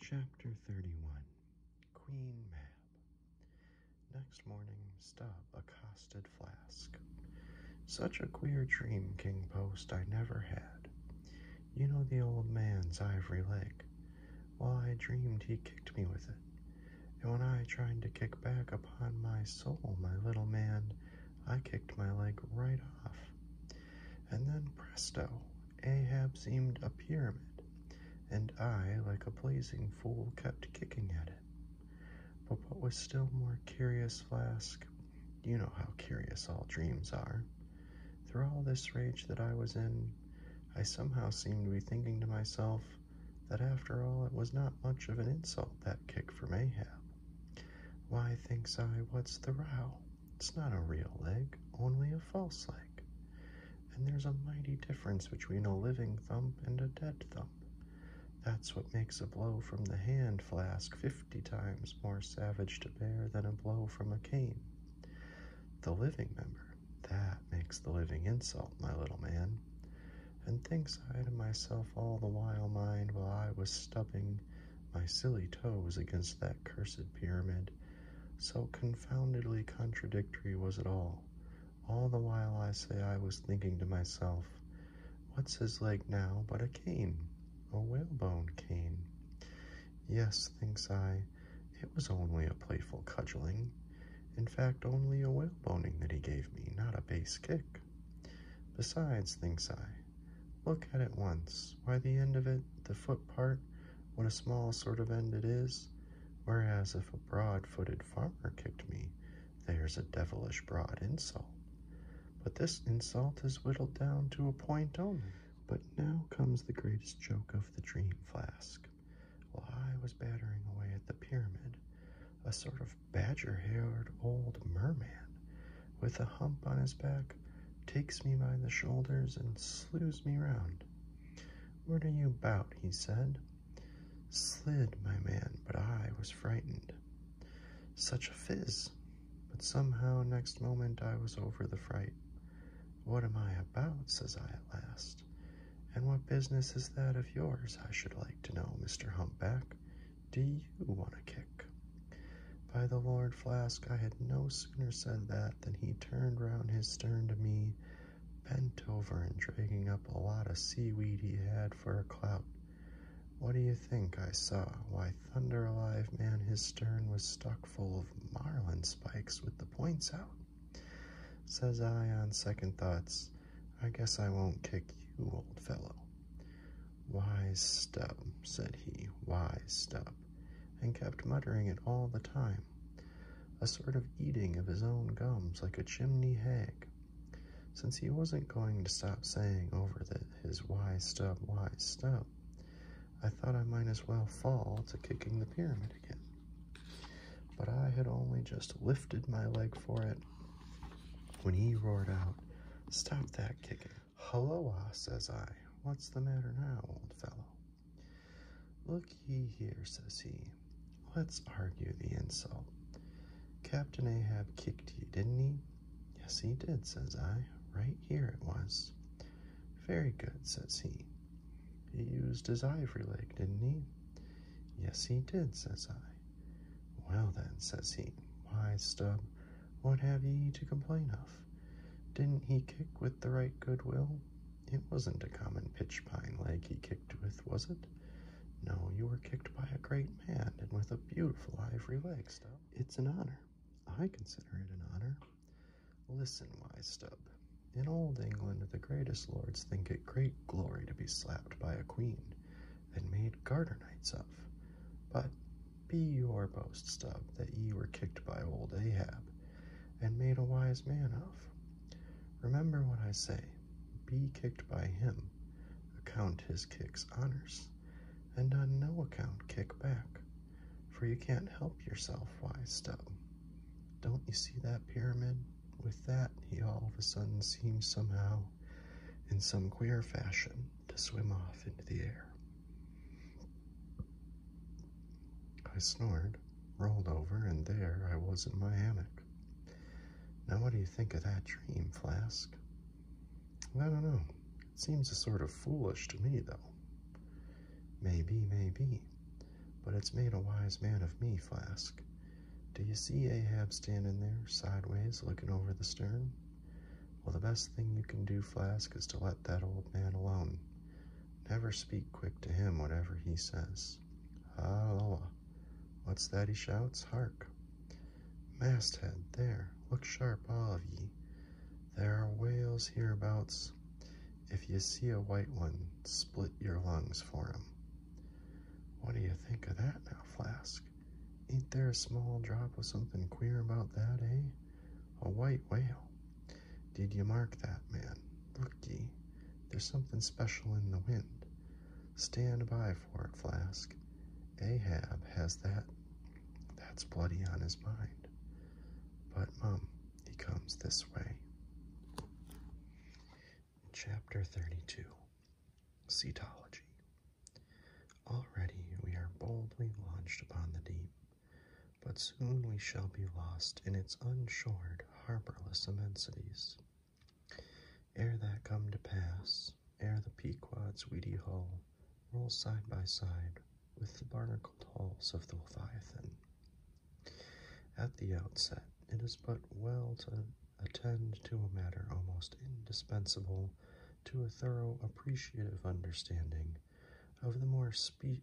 Chapter 31 Queen Mab Next morning, Stub accosted Flask. Such a queer dream, King Post, I never had. You know the old man's ivory leg. Why, I dreamed, he kicked me with it. And when I tried to kick back upon my soul, my little man, I kicked my leg right off. And then presto, Ahab seemed a pyramid, and I, like a blazing fool, kept kicking at it. But what was still more curious, Flask, you know how curious all dreams are. Through all this rage that I was in, I somehow seemed to be thinking to myself that after all it was not much of an insult, that kick for Ahab. Why, thinks I, what's the row? It's not a real leg, only a false leg. And there's a mighty difference between a living thump and a dead thump. That's what makes a blow from the hand flask fifty times more savage to bear than a blow from a cane. The living member, that makes the living insult, my little man. And thinks I to myself all the while, mind, while I was stubbing my silly toes against that cursed pyramid so confoundedly contradictory was it all. All the while I say I was thinking to myself, What's his leg now but a cane? A whalebone cane. Yes, thinks I, it was only a playful cudgeling. In fact, only a whaleboning that he gave me, not a base kick. Besides, thinks I, look at it once. Why, the end of it, the foot part, what a small sort of end it is! Whereas if a broad footed farmer kicked me, there's a devilish broad insult. But this insult is whittled down to a point only. But now comes the greatest joke of the dream flask. While I was battering away at the pyramid, a sort of badger haired old merman, with a hump on his back takes me by the shoulders, and slews me round. What are you about? he said. Slid, my man, but I was frightened. Such a fizz! But somehow, next moment, I was over the fright. What am I about? says I at last. And what business is that of yours, I should like to know, Mr. Humpback? Do you want a kick? By the Lord Flask, I had no sooner said that than he turned round his stern to me, bent over and dragging up a lot of seaweed he had for a clout. What do you think I saw? Why, thunder alive, man, his stern was stuck full of marlin spikes with the points out. Says I, on second thoughts, I guess I won't kick you, old fellow. Wise stub, said he, wise stub and kept muttering it all the time, a sort of eating of his own gums like a chimney hag. Since he wasn't going to stop saying over the, his why stub, why stub, I thought I might as well fall to kicking the pyramid again. But I had only just lifted my leg for it when he roared out, Stop that kicking. Helloa, ah, says I. What's the matter now, old fellow? Look ye here, says he. Let's argue the insult. Captain Ahab kicked you, didn't he? Yes, he did, says I. Right here it was. Very good, says he. He used his ivory leg, didn't he? Yes, he did, says I. Well then, says he, why, Stub, what have ye to complain of? Didn't he kick with the right goodwill? It wasn't a common pitch pine leg he kicked with, was it? No, you were kicked by a great man and with a beautiful ivory leg, Stub. It's an honor. I consider it an honor. Listen, wise Stub. In old England, the greatest lords think it great glory to be slapped by a queen and made garter knights of. But be your boast, Stub, that ye were kicked by old Ahab, and made a wise man of. Remember what I say be kicked by him, account his kicks honors, and on no account kick back, for you can't help yourself, wise stub. Don't you see that pyramid? With that, he all of a sudden seems somehow, in some queer fashion, to swim off into the air. I snored, rolled over, and there I was in my hammock. Now, what do you think of that dream, Flask? I don't know. It seems sort of foolish to me, though. Maybe, maybe. But it's made a wise man of me, Flask. Do you see Ahab standing there, sideways, looking over the stern? Well, the best thing you can do, Flask, is to let that old man alone. Never speak quick to him, whatever he says. Halloa! What's that he shouts? Hark! Masthead, there! Look sharp, all of ye! There are whales hereabouts. If ye see a white one, split your lungs for him. What do you think of that now, Flask? Ain't there a small drop of something queer about that, eh? A white whale. Did you mark that man? Look ye, there's something special in the wind. Stand by for it, Flask. Ahab has that. That's bloody on his mind. But, Mum, he comes this way. Chapter 32 Cetology. Already we are boldly launched upon the deep, but soon we shall be lost in its unshored, harborless immensities. Ere that come to pass, ere the Pequod's weedy hull roll side by side with the barnacled hulls of the Leviathan. At the outset, it is but well to attend to a matter almost indispensable to a thorough appreciative understanding of the more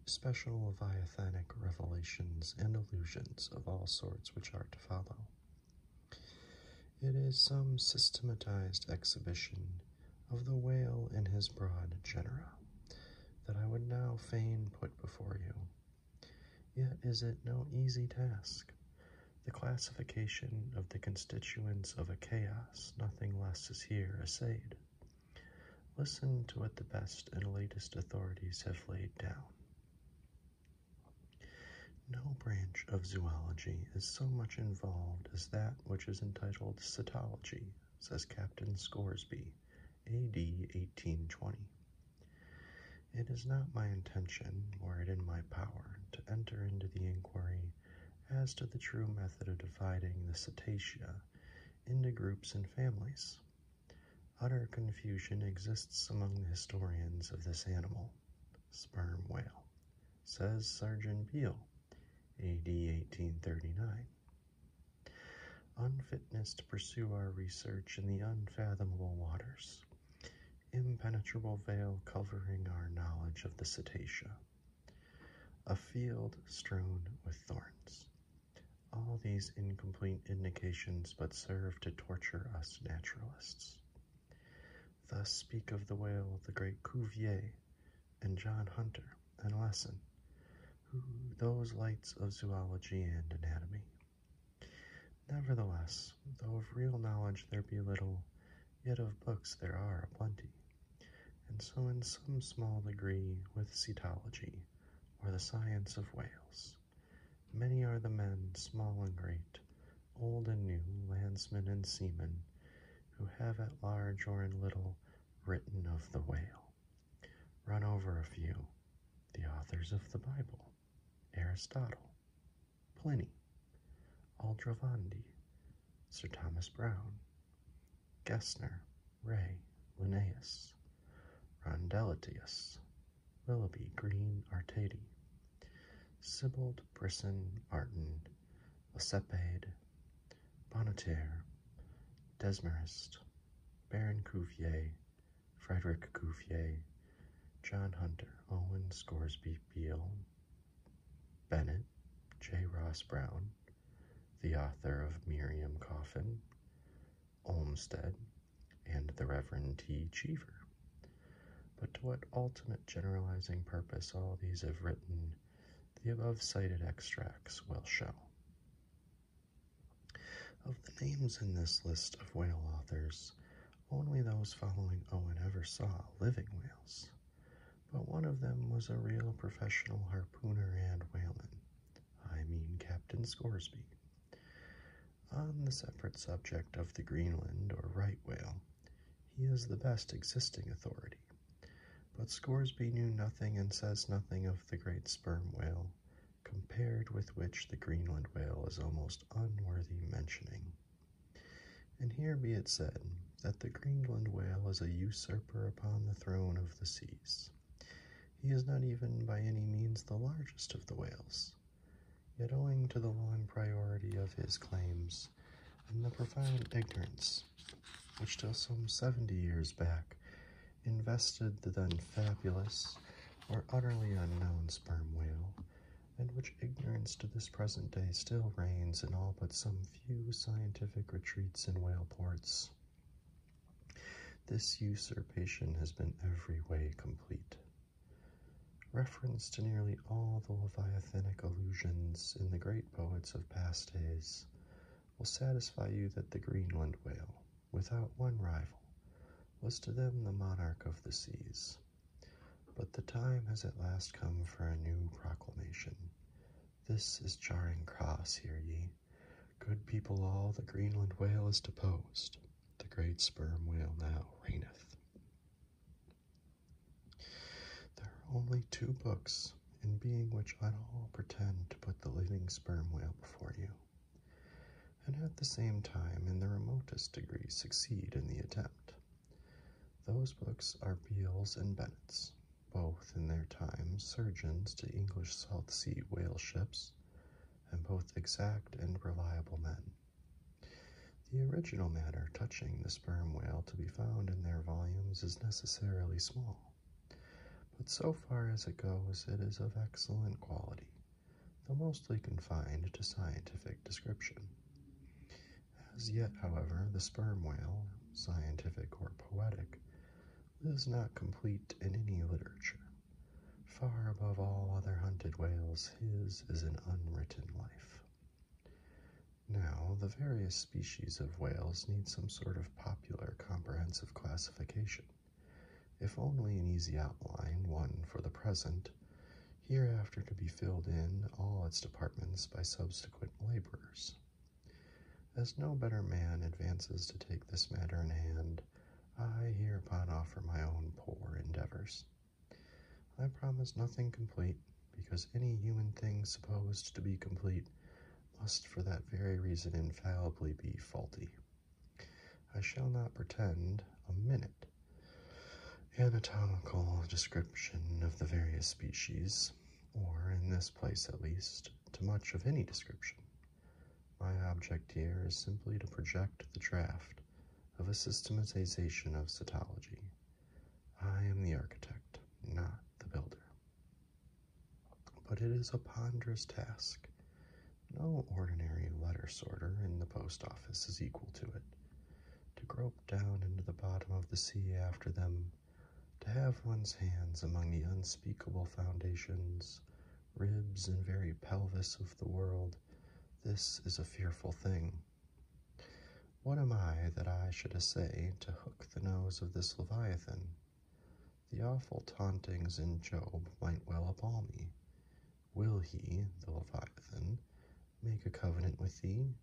special leviathanic revelations and allusions of all sorts which are to follow. It is some systematized exhibition of the whale in his broad genera that I would now fain put before you. Yet is it no easy task. The classification of the constituents of a chaos, nothing less is here essayed. Listen to what the best and latest authorities have laid down. No branch of zoology is so much involved as that which is entitled cetology, says Captain Scoresby, AD 1820. It is not my intention, were it in my power, to enter into the inquiry as to the true method of dividing the cetacea into groups and families. Utter confusion exists among the historians of this animal, sperm whale, says Sergeant Beale, AD 1839. Unfitness to pursue our research in the unfathomable waters, impenetrable veil covering our knowledge of the cetacea, a field strewn with thorns, all these incomplete indications but serve to torture us naturalists. Thus speak of the whale the great Cuvier and John Hunter and Lesson, who those lights of zoology and anatomy. Nevertheless, though of real knowledge there be little, yet of books there are a plenty, and so in some small degree with cetology or the science of whales, Many are the men, small and great, old and new, landsmen and seamen, who have at large or in little written of the whale. Run over a few. The authors of the Bible, Aristotle, Pliny, Aldrovandi, Sir Thomas Browne, Gessner, Ray, Linnaeus, Rondellatus, Willoughby Green Artedi, Sibbald Brisson Artin, Lacépède, Bonneterre, Desmarest, Baron Cuvier, Frederick Cuvier, John Hunter, Owen Scoresby Beale, Bennett, J. Ross Brown, the author of Miriam Coffin, Olmsted, and the Reverend T. Cheever. But to what ultimate generalizing purpose all these have written, the above cited extracts will show. Of the names in this list of whale authors, only those following Owen ever saw living whales, but one of them was a real professional harpooner and whaler. I mean Captain Scoresby. On the separate subject of the Greenland or right whale, he is the best existing authority. But Scoresby knew nothing and says nothing of the great sperm whale, compared with which the Greenland whale is almost unworthy mentioning. And here be it said that the Greenland whale is a usurper upon the throne of the seas. He is not even by any means the largest of the whales. Yet, owing to the long priority of his claims and the profound ignorance which, till some seventy years back, invested the then fabulous or utterly unknown sperm whale, and which ignorance to this present day still reigns in all but some few scientific retreats in whale ports. This usurpation has been every way complete. Reference to nearly all the Leviathanic allusions in the great poets of past days will satisfy you that the Greenland whale, without one rival, was to them the monarch of the seas. But the time has at last come for a new proclamation. This is Charing Cross, hear ye. Good people all, the Greenland whale is deposed. The great sperm whale now reigneth. There are only two books, in being which I all pretend to put the living sperm whale before you, and at the same time, in the remotest degree, succeed in the attempt. Those books are Beale's and Bennett's, both in their time surgeons to English South Sea whale ships, and both exact and reliable men. The original matter touching the sperm whale to be found in their volumes is necessarily small, but so far as it goes, it is of excellent quality, though mostly confined to scientific description. As yet, however, the sperm whale, scientific or poetic, is not complete in any literature. Far above all other hunted whales, his is an unwritten life. Now, the various species of whales need some sort of popular comprehensive classification. If only an easy outline, one for the present, hereafter to be filled in all its departments by subsequent laborers. As no better man advances to take this matter in hand, I hereupon offer my own poor endeavors. I promise nothing complete, because any human thing supposed to be complete must for that very reason infallibly be faulty. I shall not pretend a minute anatomical description of the various species, or in this place at least, to much of any description. My object here is simply to project the draft of a systematization of cetology. I am the architect, not the builder. But it is a ponderous task. No ordinary letter sorter in the post office is equal to it. To grope down into the bottom of the sea after them, to have one's hands among the unspeakable foundations ribs and very pelvis of the world, this is a fearful thing. What am I that I should essay to hook the nose of this leviathan? The awful tauntings in Job might well appall me. Will he, the leviathan, make a covenant with thee?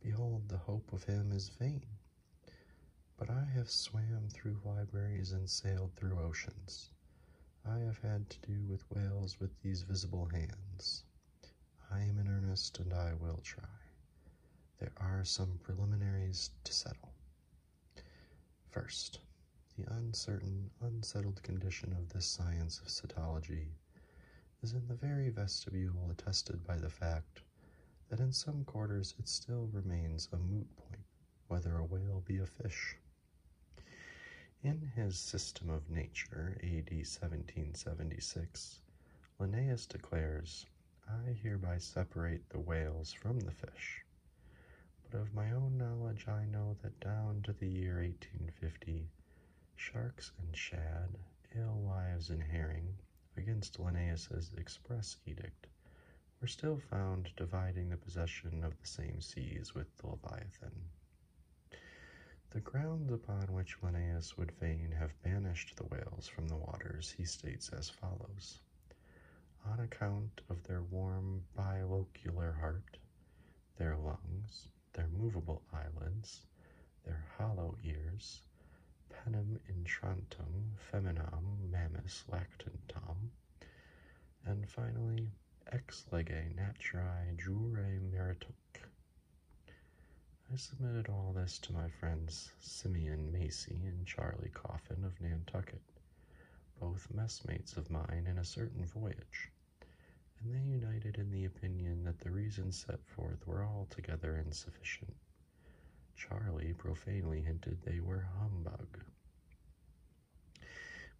Behold, the hope of him is vain. But I have swam through libraries and sailed through oceans. I have had to do with whales with these visible hands. I am in earnest and I will try. There are some preliminaries to settle. First, the uncertain, unsettled condition of this science of cetology is in the very vestibule attested by the fact that in some quarters it still remains a moot point whether a whale be a fish. In his System of Nature, AD 1776, Linnaeus declares, I hereby separate the whales from the fish. But of my own knowledge, I know that down to the year 1850, sharks and shad, alewives and herring, against Linnaeus's express edict, were still found dividing the possession of the same seas with the Leviathan. The grounds upon which Linnaeus would fain have banished the whales from the waters he states as follows. On account of their warm biocular heart, their lungs, their movable eyelids, their hollow ears, penum intrantum feminam mammis lactantum. And finally, ex lege naturae jure merituc. I submitted all this to my friends Simeon Macy and Charlie Coffin of Nantucket, both messmates of mine in a certain voyage, and they united in the opinion that the reasons set forth were altogether insufficient. Charlie profanely hinted they were humbug.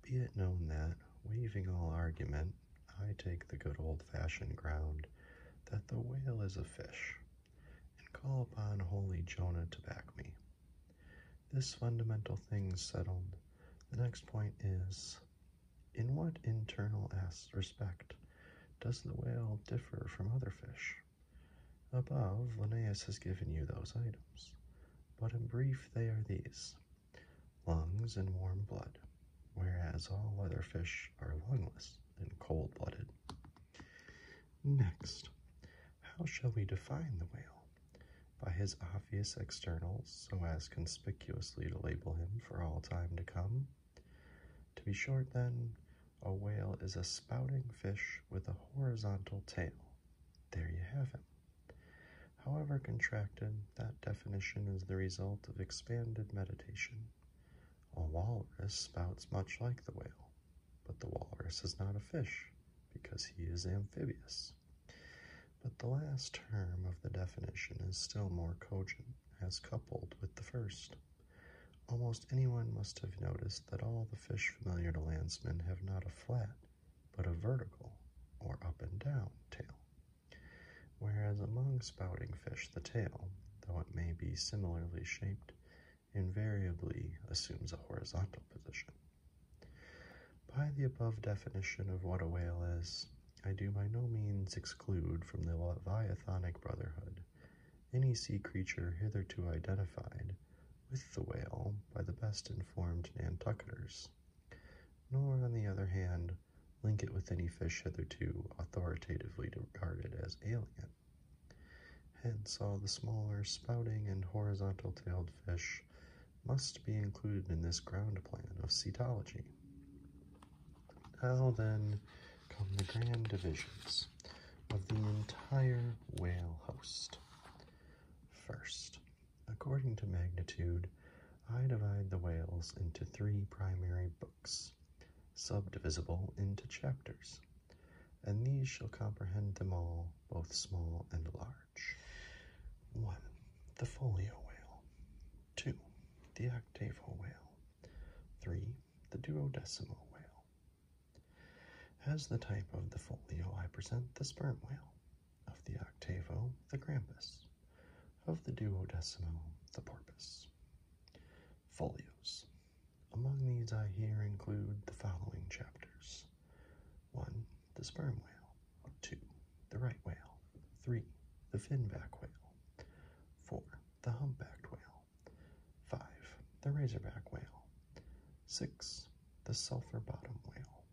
Be it known that, waiving all argument, I take the good old fashioned ground that the whale is a fish, and call upon holy Jonah to back me. This fundamental thing settled, the next point is in what internal respect does the whale differ from other fish? Above, Linnaeus has given you those items but in brief they are these lungs and warm blood, whereas all other fish are lungless and cold blooded. Next, how shall we define the whale? By his obvious externals, so as conspicuously to label him for all time to come? To be short, then, a whale is a spouting fish with a horizontal tail. There you have it. However contracted, that definition is the result of expanded meditation. A walrus spouts much like the whale, but the walrus is not a fish because he is amphibious. But the last term of the definition is still more cogent as coupled with the first. Almost anyone must have noticed that all the fish familiar to landsmen have not a flat, but a vertical or up and down tail. Whereas among spouting fish, the tail, though it may be similarly shaped, invariably assumes a horizontal position. By the above definition of what a whale is, I do by no means exclude from the Leviathanic Brotherhood any sea creature hitherto identified with the whale by the best informed Nantucketers, nor, on the other hand, link it with any fish hitherto authoritatively regarded as alien. Hence, all the smaller spouting and horizontal tailed fish must be included in this ground plan of cetology. Now then come the grand divisions of the entire whale host. First, According to magnitude, I divide the whales into three primary books, subdivisible into chapters, and these shall comprehend them all, both small and large. 1. The folio whale. 2. The octavo whale. 3. The duodecimo whale. As the type of the folio, I present the sperm whale of the octavo, the grampus, of the duodecimo, the porpoise. Folios. Among these I here include the following chapters. 1. The sperm whale. 2. The right whale. 3. The finback whale. 4. The humpbacked whale. 5. The razorback whale. 6. The Sulphur Bottom Whale.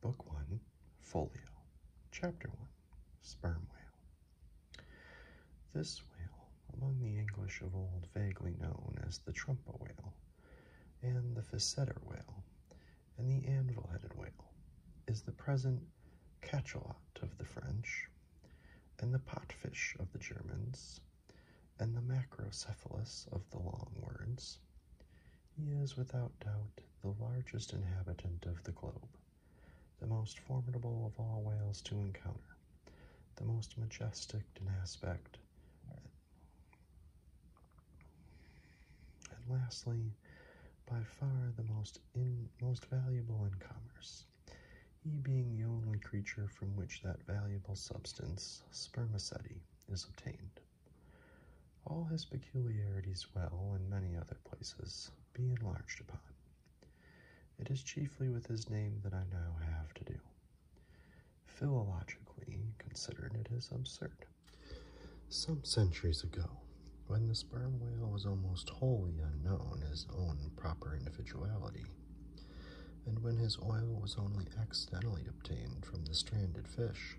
Book 1, Folio, Chapter 1, Sperm Whale. This whale, among the English of old vaguely known as the Trumpa Whale, and the Physeter Whale, and the Anvil-Headed Whale, is the present Cachalot of the French, and the potfish of the Germans, and the macrocephalus of the long words, he is without doubt the largest inhabitant of the globe, the most formidable of all whales to encounter, the most majestic in aspect, and lastly, by far the most in, most valuable in commerce, he being the only creature from which that valuable substance, spermaceti, is obtained. All his peculiarities will, in many other places, be enlarged upon. It is chiefly with his name that I now have to do. Philologically considered, it is absurd. Some centuries ago, when the sperm whale was almost wholly unknown, his own proper individuality and when his oil was only accidentally obtained from the stranded fish.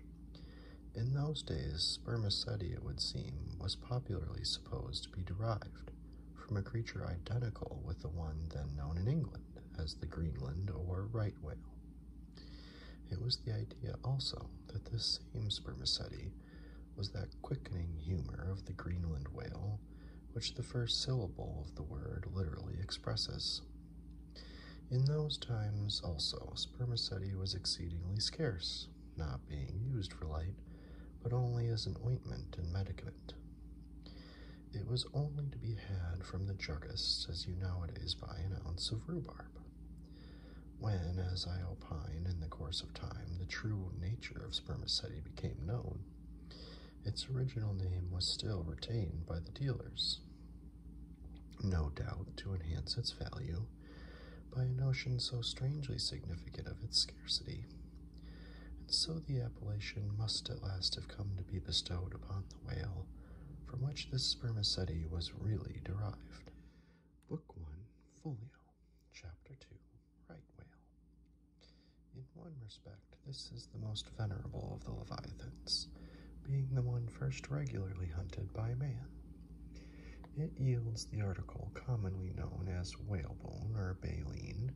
In those days, spermaceti, it would seem, was popularly supposed to be derived from a creature identical with the one then known in England as the Greenland or right whale. It was the idea also that this same spermaceti was that quickening humor of the Greenland whale, which the first syllable of the word literally expresses. In those times also, spermaceti was exceedingly scarce, not being used for light, but only as an ointment and medicament. It was only to be had from the juggists, as you nowadays buy an ounce of rhubarb. When, as I opine, in the course of time, the true nature of spermaceti became known, its original name was still retained by the dealers no doubt to enhance its value by a notion so strangely significant of its scarcity. And so the appellation must at last have come to be bestowed upon the whale from which this spermaceti was really derived. Book 1, Folio, Chapter 2, Right Whale. In one respect, this is the most venerable of the leviathans, being the one first regularly hunted by man. It yields the article commonly known as whalebone or baleen,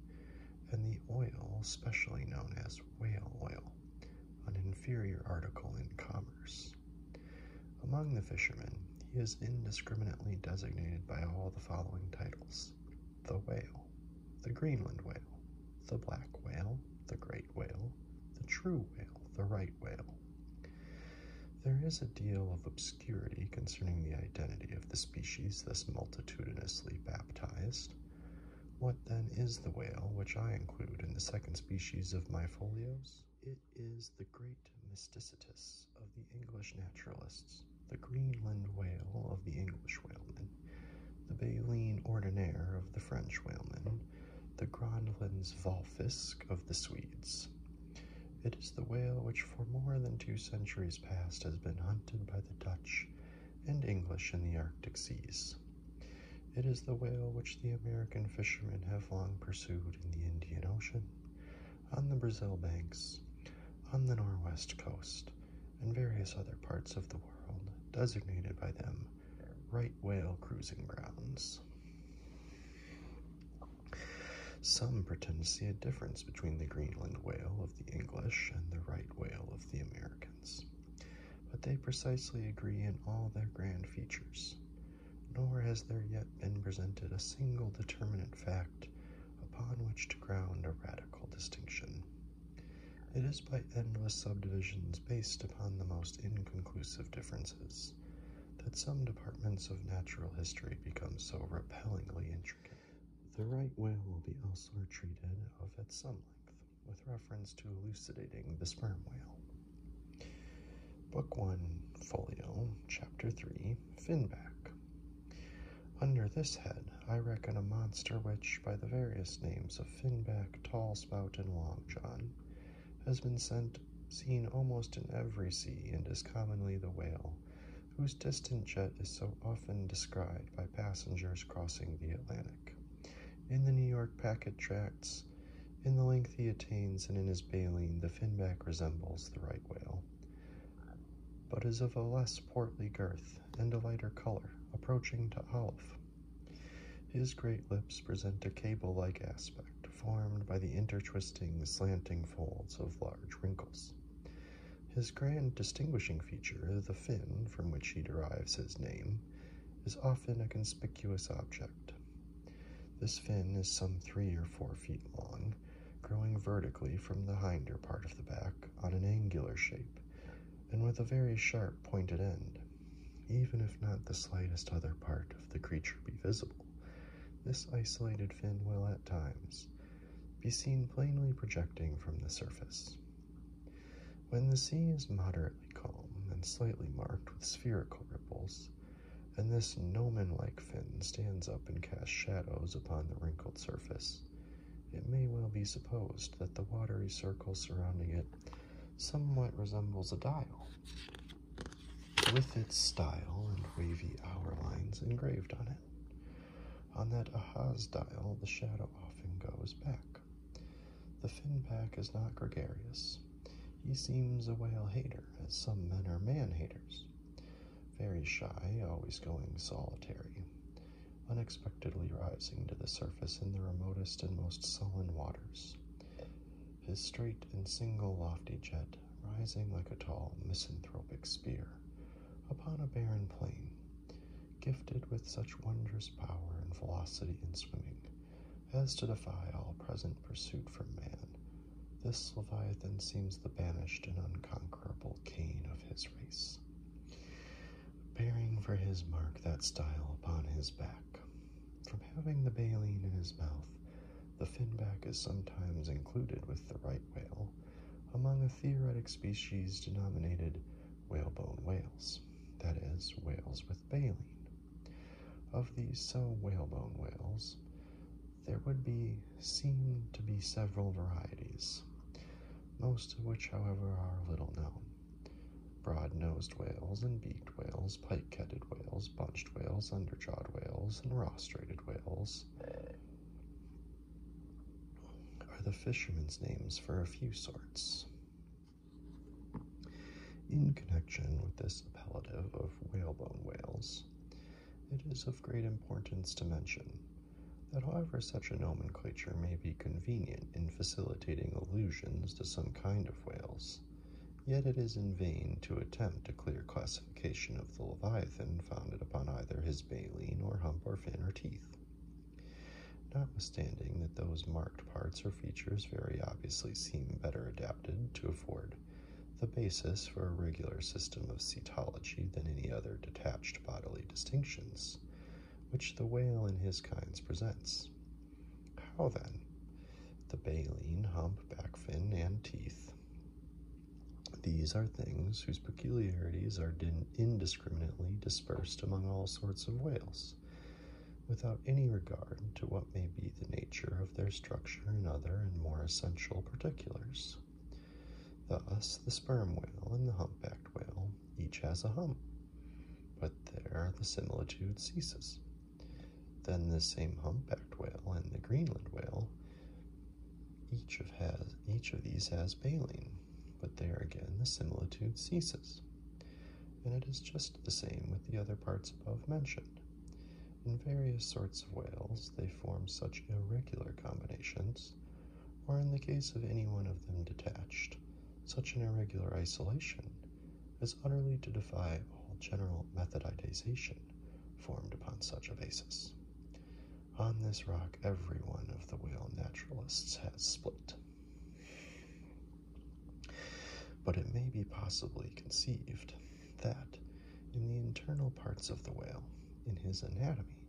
and the oil specially known as whale oil, an inferior article in commerce. Among the fishermen, he is indiscriminately designated by all the following titles the whale, the Greenland whale, the black whale, the great whale, the true whale, the right whale. There is a deal of obscurity concerning the identity of the species thus multitudinously baptized. What then is the whale, which I include in the second species of my folios? It is the great mysticetus of the English naturalists, the Greenland whale of the English whalemen, the baleen ordinaire of the French whalemen, the Grönland's Valfisk of the Swedes. It is the whale which for more than two centuries past has been hunted by the Dutch and English in the Arctic seas. It is the whale which the American fishermen have long pursued in the Indian Ocean, on the Brazil banks, on the Norwest coast, and various other parts of the world designated by them right whale cruising grounds. Some pretend to see a difference between the Greenland whale of the English and the right whale of the Americans, but they precisely agree in all their grand features, nor has there yet been presented a single determinate fact upon which to ground a radical distinction. It is by endless subdivisions based upon the most inconclusive differences that some departments of natural history become so repellingly intricate. The right whale will be also treated of at some length with reference to elucidating the sperm whale. Book 1, Folio, Chapter 3, Finback. Under this head, I reckon a monster which, by the various names of finback, tall spout, and long john, has been sent, seen almost in every sea and is commonly the whale, whose distant jet is so often descried by passengers crossing the Atlantic. In the New York packet tracts, in the length he attains and in his baleen, the finback resembles the right whale, but is of a less portly girth and a lighter color, approaching to olive. His great lips present a cable like aspect formed by the intertwisting, slanting folds of large wrinkles. His grand distinguishing feature, the fin from which he derives his name, is often a conspicuous object. This fin is some three or four feet long, growing vertically from the hinder part of the back on an angular shape, and with a very sharp pointed end. Even if not the slightest other part of the creature be visible, this isolated fin will at times be seen plainly projecting from the surface. When the sea is moderately calm and slightly marked with spherical ripples, and this gnomon like fin stands up and casts shadows upon the wrinkled surface, it may well be supposed that the watery circle surrounding it somewhat resembles a dial, with its style and wavy hour lines engraved on it. On that Ahaz dial, the shadow often goes back. The finback is not gregarious. He seems a whale hater, as some men are man haters. Very shy, always going solitary, unexpectedly rising to the surface in the remotest and most sullen waters. His straight and single lofty jet rising like a tall misanthropic spear upon a barren plain, gifted with such wondrous power and velocity in swimming as to defy all present pursuit from man. This leviathan seems the banished and unconquerable Cain of his race, bearing for his mark that style upon his back, from having the baleen in his mouth, the finback is sometimes included with the right whale among the theoretic species denominated whalebone whales, that is, whales with baleen. Of these so whalebone whales, there would be seem to be several varieties, most of which, however, are little known broad-nosed whales and beaked whales, pike-headed whales, bunched whales, underjawed whales, and rostrated whales are the fishermen's names for a few sorts. In connection with this appellative of whalebone whales, it is of great importance to mention that however such a nomenclature may be convenient in facilitating allusions to some kind of whales, yet it is in vain to attempt a clear classification of the leviathan founded upon either his baleen or hump or fin or teeth. Notwithstanding that those marked parts or features very obviously seem better adapted to afford the basis for a regular system of cetology than any other detached bodily distinctions, which the whale and his kinds presents. How then? The baleen, hump, back fin, and teeth. These are things whose peculiarities are indiscriminately dispersed among all sorts of whales, without any regard to what may be the nature of their structure and other and more essential particulars. Thus, the sperm whale and the humpbacked whale each has a hump, but there the similitude ceases. Then the same humpbacked whale and the Greenland whale, each of has each of these has baleen, but there again the similitude ceases. And it is just the same with the other parts above mentioned. In various sorts of whales, they form such irregular combinations, or in the case of any one of them detached, such an irregular isolation is utterly to defy all general methodization formed upon such a basis. On this rock, every one of the whale naturalists has split. But it may be possibly conceived that in the internal parts of the whale, in his anatomy,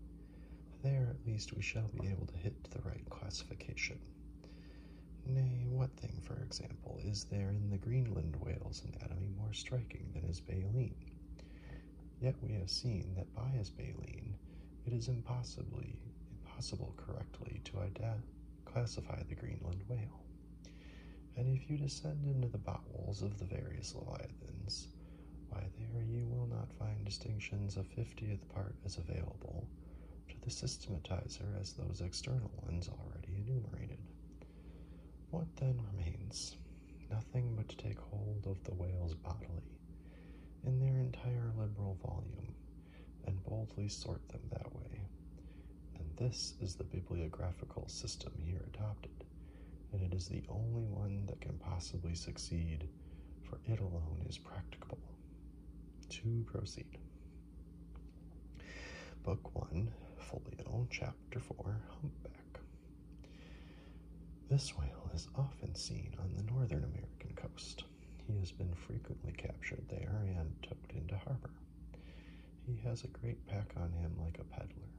there at least we shall be able to hit the right classification Nay, what thing, for example, is there in the Greenland whale's anatomy more striking than his baleen? Yet we have seen that by his baleen, it is impossibly impossible correctly to classify the Greenland whale. And if you descend into the bowels of the various leviathans, why there you will not find distinctions a fiftieth part as available to the systematizer as those external ones already enumerated. What then remains? Nothing but to take hold of the whales bodily, in their entire liberal volume, and boldly sort them that way. And this is the bibliographical system here adopted, and it is the only one that can possibly succeed, for it alone is practicable. To proceed. Book 1, Folio, Chapter 4, Humpback. This whale is often seen on the northern American coast. He has been frequently captured there and towed into harbor. He has a great pack on him like a peddler,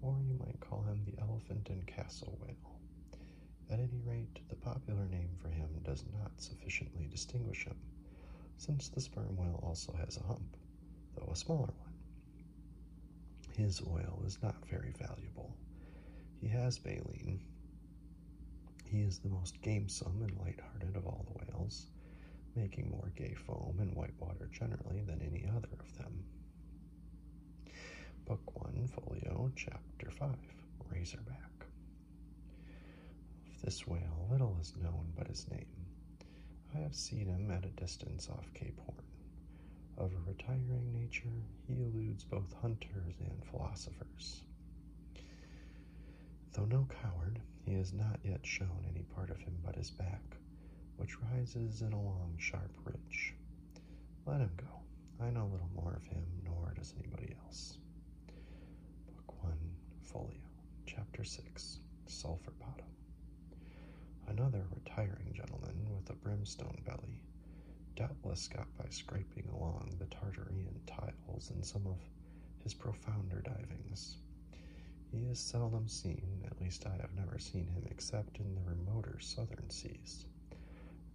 or you might call him the elephant and castle whale. At any rate, the popular name for him does not sufficiently distinguish him since the sperm whale also has a hump, though a smaller one. His oil is not very valuable. He has baleen. He is the most gamesome and lighthearted of all the whales, making more gay foam and white water generally than any other of them. Book 1, Folio, Chapter 5 Razorback. Of this whale, little is known but his name. I have seen him at a distance off Cape Horn. Of a retiring nature, he eludes both hunters and philosophers. Though no coward, he has not yet shown any part of him but his back, which rises in a long, sharp ridge. Let him go. I know little more of him, nor does anybody else. Book 1, Folio, Chapter 6, Sulphur Bottom. Another retiring gentleman with a brimstone belly doubtless got by scraping along the Tartarian tiles in some of his profounder divings. He is seldom seen, at least I have never seen him except in the remoter southern seas,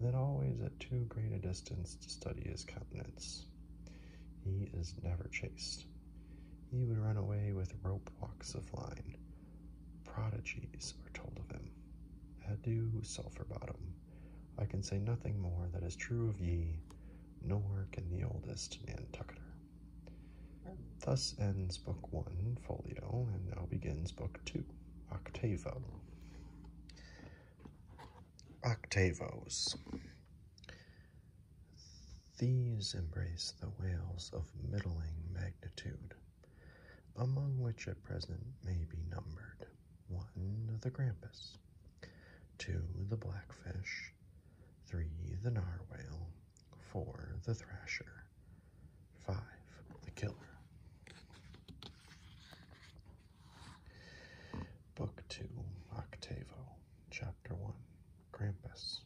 then always at too great a distance to study his countenance. He is never chased. He would run away with rope walks of line. Prodigies are told of him. Adieu, sulphur bottom. I can say nothing more that is true of ye, nor can the oldest Nantucketer. Thus ends Book One, Folio, and now begins Book Two, Octavo. Octavos. These embrace the whales of middling magnitude, among which at present may be numbered 1. The Grampus, 2. The Blackfish, 3. The Narwhale, 4. The Thrasher, 5. The Killer. Book 2, Octavo. Chapter 1 Krampus.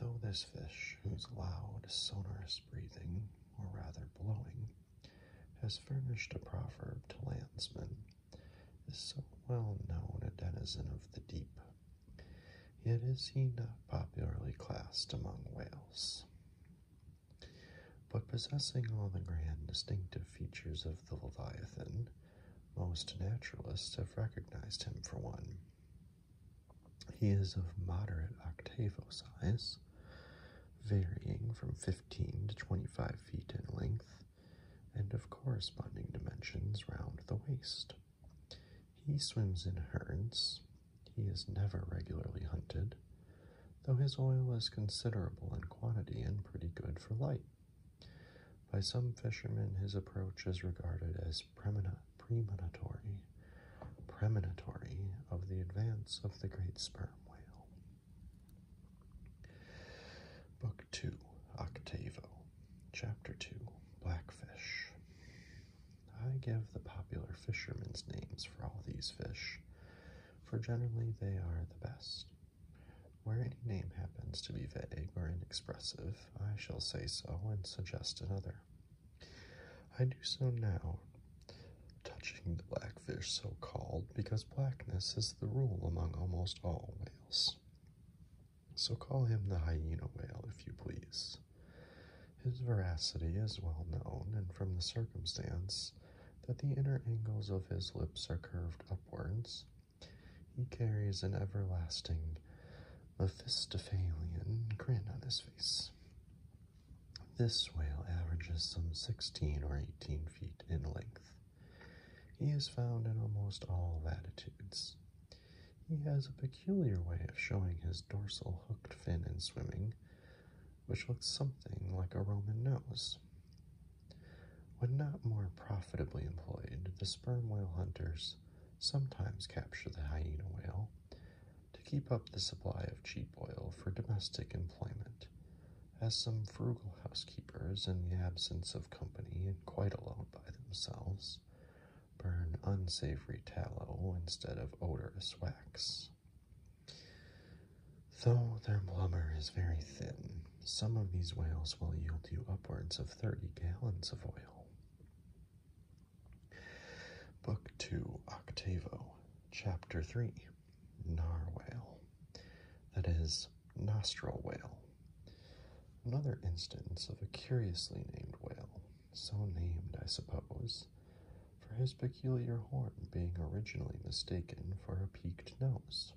Though this fish, whose loud, sonorous breathing, or rather blowing, has furnished a proverb to landsmen, is so well known a denizen of the deep, yet is he not popularly classed among whales. But possessing all the grand distinctive features of the Leviathan, most naturalists have recognized him for one. He is of moderate octavo size, varying from 15 to 25 feet in length, and of corresponding dimensions round the waist. He swims in herds. He is never regularly hunted, though his oil is considerable in quantity and pretty good for light. By some fishermen, his approach is regarded as premonitory, of the advance of the great sperm whale. Book 2, Octavo, Chapter 2, Blackfish. I give the popular fishermen's names for all these fish, for generally they are the best. Where any name happens to be vague or inexpressive, I shall say so and suggest another. I do so now, touching the blackfish so called, because blackness is the rule among almost all whales. So call him the hyena whale, if you please. His veracity is well known, and from the circumstance that the inner angles of his lips are curved upwards, he carries an everlasting Mephistophelian grin on his face. This whale averages some 16 or 18 feet in length. He is found in almost all latitudes. He has a peculiar way of showing his dorsal hooked fin in swimming, which looks something like a Roman nose. When not more profitably employed, the sperm whale hunters sometimes capture the hyena whale to keep up the supply of cheap oil for domestic employment, as some frugal housekeepers, in the absence of company and quite alone by themselves, burn unsavory tallow instead of odorous wax. Though their blubber is very thin, some of these whales will yield you upwards of 30 gallons of oil. Book 2, Octavo, Chapter 3, Narwhale, that is, nostril whale. Another instance of a curiously named whale, so named, I suppose, for his peculiar horn being originally mistaken for a peaked nose.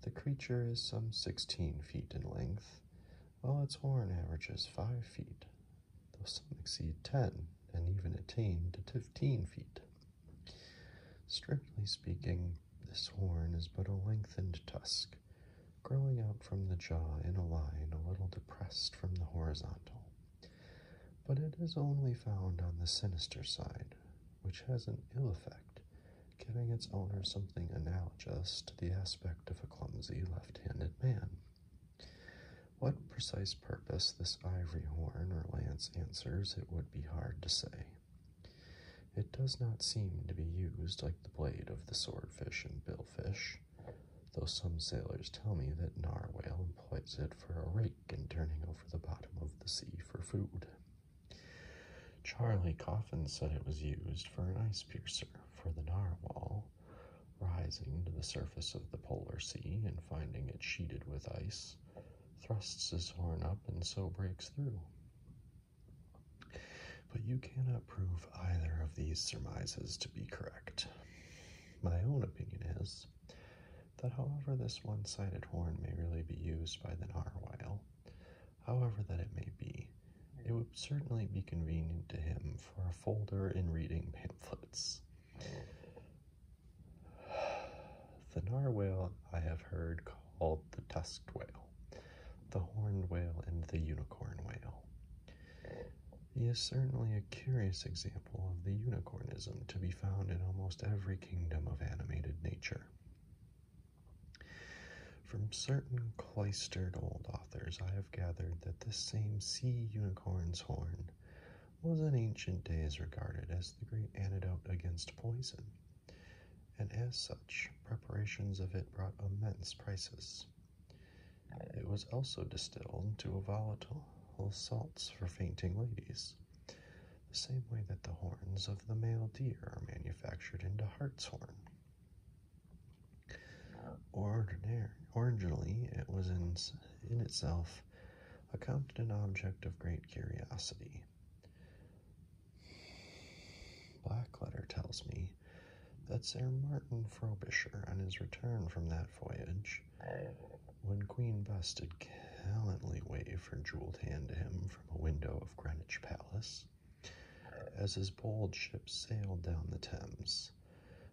The creature is some 16 feet in length, while its horn averages 5 feet, though some exceed 10 and even attain to 15 feet. Strictly speaking, this horn is but a lengthened tusk, growing out from the jaw in a line a little depressed from the horizontal. But it is only found on the sinister side, which has an ill effect, giving its owner something analogous to the aspect of a clumsy left-handed man. What precise purpose this ivory horn or lance answers, it would be hard to say. It does not seem to be used like the blade of the swordfish and billfish, though some sailors tell me that narwhale employs it for a rake in turning over the bottom of the sea for food. Charlie Coffin said it was used for an ice piercer for the narwhal rising to the surface of the polar sea and finding it sheeted with ice, thrusts his horn up and so breaks through. But you cannot prove either of these surmises to be correct. My own opinion is that, however, this one sided horn may really be used by the narwhale, However that it may be, it would certainly be convenient to him for a folder in reading pamphlets. The narwhale I have heard called the tusked whale, the horned whale, and the unicorn whale. He is certainly a curious example of the unicornism to be found in almost every kingdom of animated nature. From certain cloistered old authors, I have gathered that this same sea unicorn's horn was in ancient days regarded as the great antidote against poison, and as such, preparations of it brought immense prices. It was also distilled into a volatile salts for fainting ladies, the same way that the horns of the male deer are manufactured into hartshorn. Originally, it was in, in itself accounted an object of great curiosity. Blackletter tells me that Sir Martin Frobisher, on his return from that voyage, when Queen Bess did gallantly wave her jeweled hand to him from a window of Greenwich Palace, as his bold ship sailed down the Thames.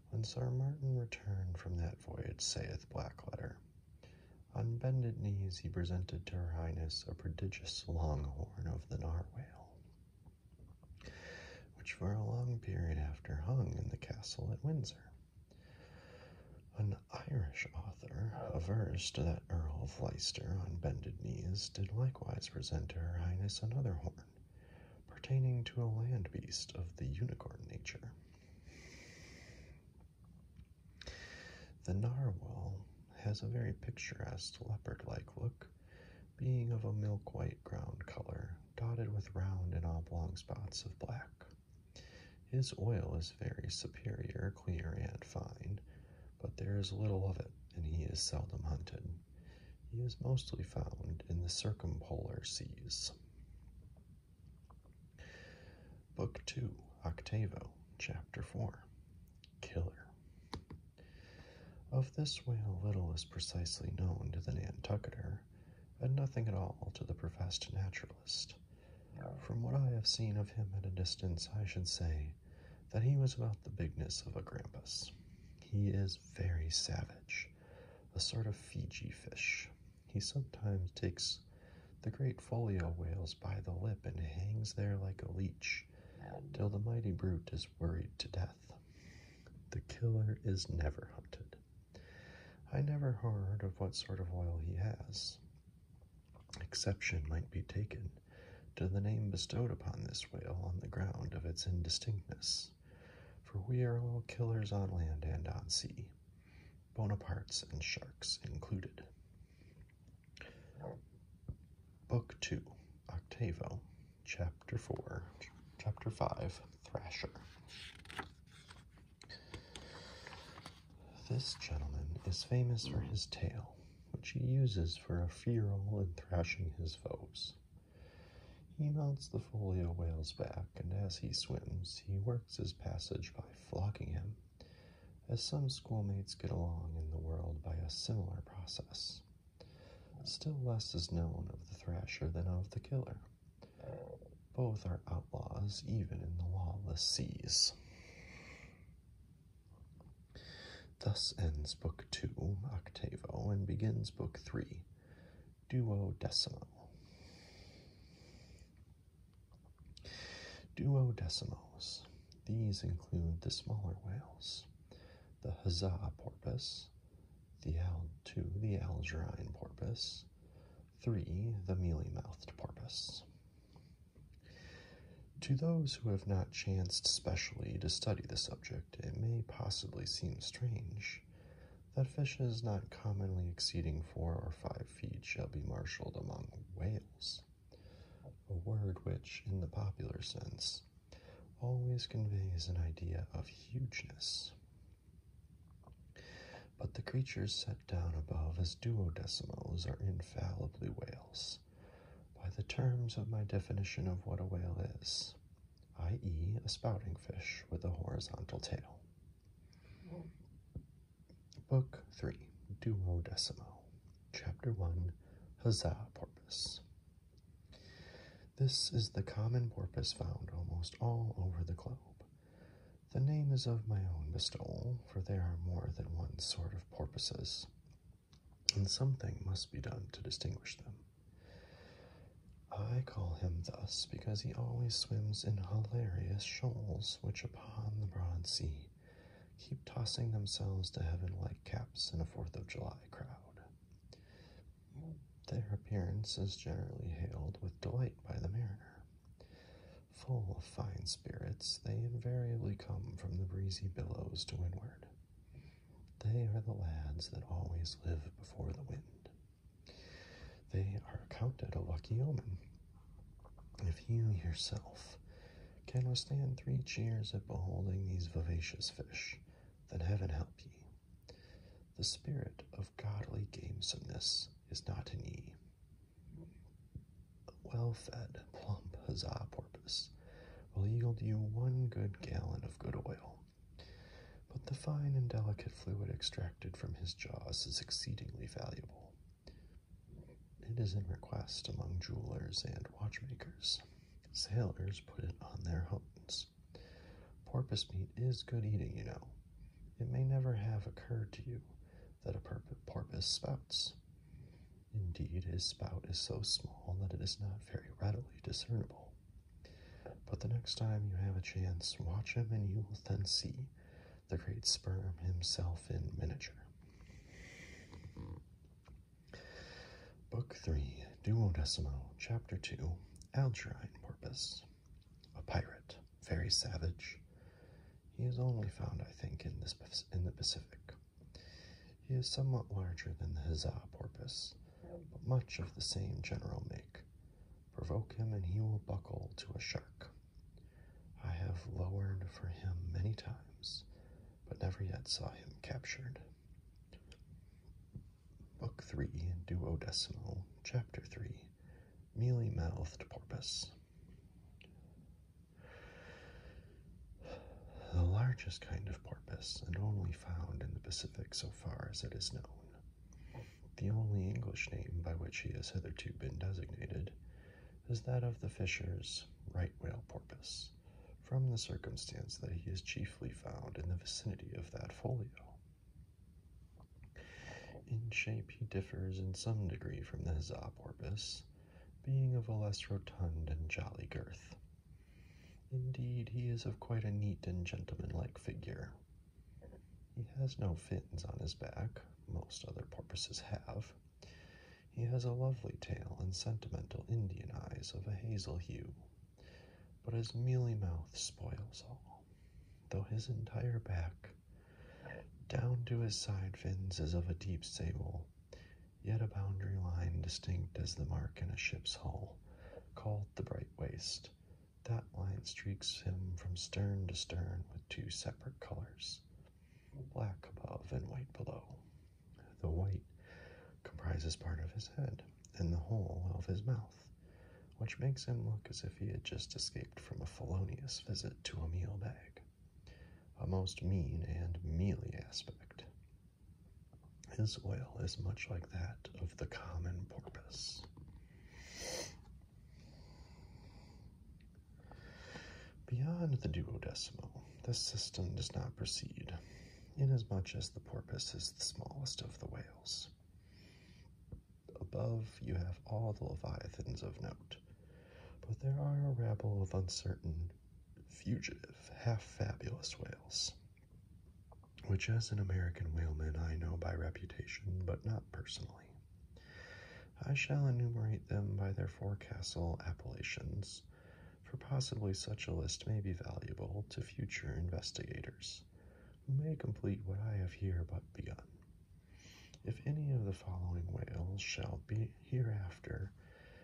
When Sir Martin returned from that voyage, saith Blackletter, on bended knees he presented to her highness a prodigious long horn of the narwhale, which for a long period after hung in the castle at Windsor. An Irish author to that Earl of Leicester on bended knees did likewise present to her highness another horn, pertaining to a land beast of the unicorn nature. The narwhal has a very picturesque leopard like look, being of a milk white ground color, dotted with round and oblong spots of black. His oil is very superior, clear, and fine, but there is little of it, and he is seldom hunted. He is mostly found in the circumpolar seas. Book 2, Octavo, Chapter 4 Killer. Of this whale, little is precisely known to the Nantucketer, and nothing at all to the professed naturalist. From what I have seen of him at a distance, I should say that he was about the bigness of a grampus. He is very savage, a sort of Fiji fish. He sometimes takes the great folio whales by the lip and hangs there like a leech till the mighty brute is worried to death. The killer is never hunted. I never heard of what sort of oil he has. Exception might be taken to the name bestowed upon this whale on the ground of its indistinctness, for we are all killers on land and on sea, Bonapartes and sharks included. Book 2, Octavo, Chapter 4, Chapter 5, Thrasher. This gentleman is famous for his tail, which he uses for a furl and thrashing his foes. He mounts the folio whale's back, and as he swims, he works his passage by flogging him, as some schoolmates get along in the world by a similar process. Still less is known of the thrasher than of the killer. Both are outlaws, even in the lawless seas. Thus ends Book Two, Octavo, and begins Book Three, Duodecimo. Duodecimos. These include the smaller whales, the Huzzah porpoise, the Al two, the Algerine porpoise, three, the mealy mouthed porpoise. To those who have not chanced specially to study the subject, it may possibly seem strange that fishes not commonly exceeding four or five feet shall be marshalled among whales, a word which, in the popular sense, always conveys an idea of hugeness. But the creatures set down above as duodecimals are infallibly whales, by the terms of my definition of what a whale is, i.e., a spouting fish with a horizontal tail. Book 3, Duodecimo, Chapter 1, Huzzah Porpoise. This is the common porpoise found almost all over the globe. The name is of my own bestowal, for there are more than one sort of porpoises and something must be done to distinguish them. I call him thus because he always swims in hilarious shoals, which upon the broad sea keep tossing themselves to heaven like caps in a Fourth of July crowd. Their appearance is generally hailed with delight by the mariner, full of fine spirits, they invariably come from the breezy billows to windward. They are the lads that always live before the wind. They are accounted a lucky omen. If you yourself can withstand three cheers at beholding these vivacious fish, then heaven help ye. The spirit of godly gamesomeness is not in ye. A well-fed, plump huzzah porpoise will yield you one good gallon of good oil. But the fine and delicate fluid extracted from his jaws is exceedingly valuable. It is in request among jewelers and watchmakers. Sailors put it on their hones. Porpoise meat is good eating, you know. It may never have occurred to you that a porpoise spouts. Indeed, his spout is so small that it is not very readily discernible. But the next time you have a chance, watch him and you will then see the great sperm himself in miniature. Book 3, Duodecimo, Chapter 2, Algerine Porpoise. A pirate, very savage. He is only found, I think, in, this, in the Pacific. He is somewhat larger than the Hizza porpoise, but much of the same general make. Provoke him and he will buckle to a shark. I have lowered for him many times, but never yet saw him captured. Book 3, Duodecimo, Chapter 3 Mealy Mouthed Porpoise. The largest kind of porpoise, and only found in the Pacific so far as it is known. The only English name by which he has hitherto been designated is that of the fisher's right whale porpoise, from the circumstance that he is chiefly found in the vicinity of that folio. In shape, he differs in some degree from the huzzah porpoise, being of a less rotund and jolly girth. Indeed, he is of quite a neat and gentlemanlike figure. He has no fins on his back, most other porpoises have. He has a lovely tail and sentimental Indian eyes of a hazel hue, but his mealy mouth spoils all, though his entire back, down to his side fins, is of a deep sable yet a boundary line distinct as the mark in a ship's hull, called the bright waist. That line streaks him from stern to stern with two separate colors black above and white below. The white comprises part of his head and the whole of his mouth, which makes him look as if he had just escaped from a felonious visit to a meal bag. A most mean and mealy aspect. His oil is much like that of the common porpoise. Beyond the duodecimo, this system does not proceed, inasmuch as the porpoise is the smallest of the whales. Above, you have all the leviathans of note, but there are a rabble of uncertain fugitive, half fabulous whales, which, as an American whaleman, I know by reputation but not personally. I shall enumerate them by their forecastle appellations, for possibly such a list may be valuable to future investigators, who may complete what I have here but begun. If any of the following whales shall be hereafter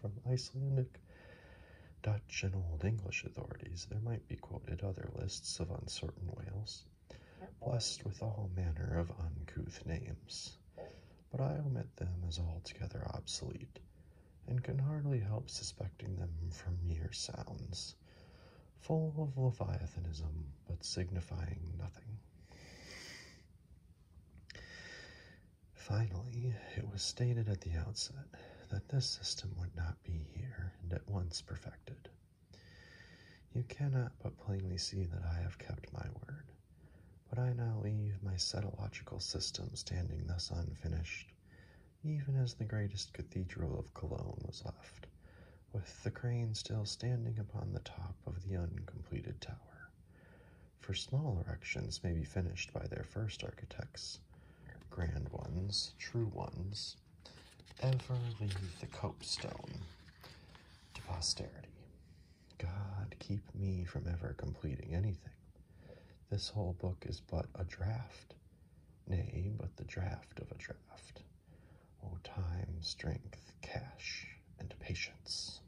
From Icelandic, Dutch, and Old English authorities, there might be quoted other lists of uncertain whales, blessed with all manner of uncouth names. But I omit them as altogether obsolete, and can hardly help suspecting them from mere sounds, full of leviathanism, but signifying nothing. Finally, it was stated at the outset that this system would not be here and at once perfected. You cannot but plainly see that I have kept my word, but I now leave my cetological system standing thus unfinished, even as the greatest cathedral of Cologne was left, with the crane still standing upon the top of the uncompleted tower for small erections may be finished by their first architects. Grand ones, true ones, ever leave the copestone to posterity. God keep me from ever completing anything. This whole book is but a draft, nay, but the draft of a draft. O time, strength, cash, and patience.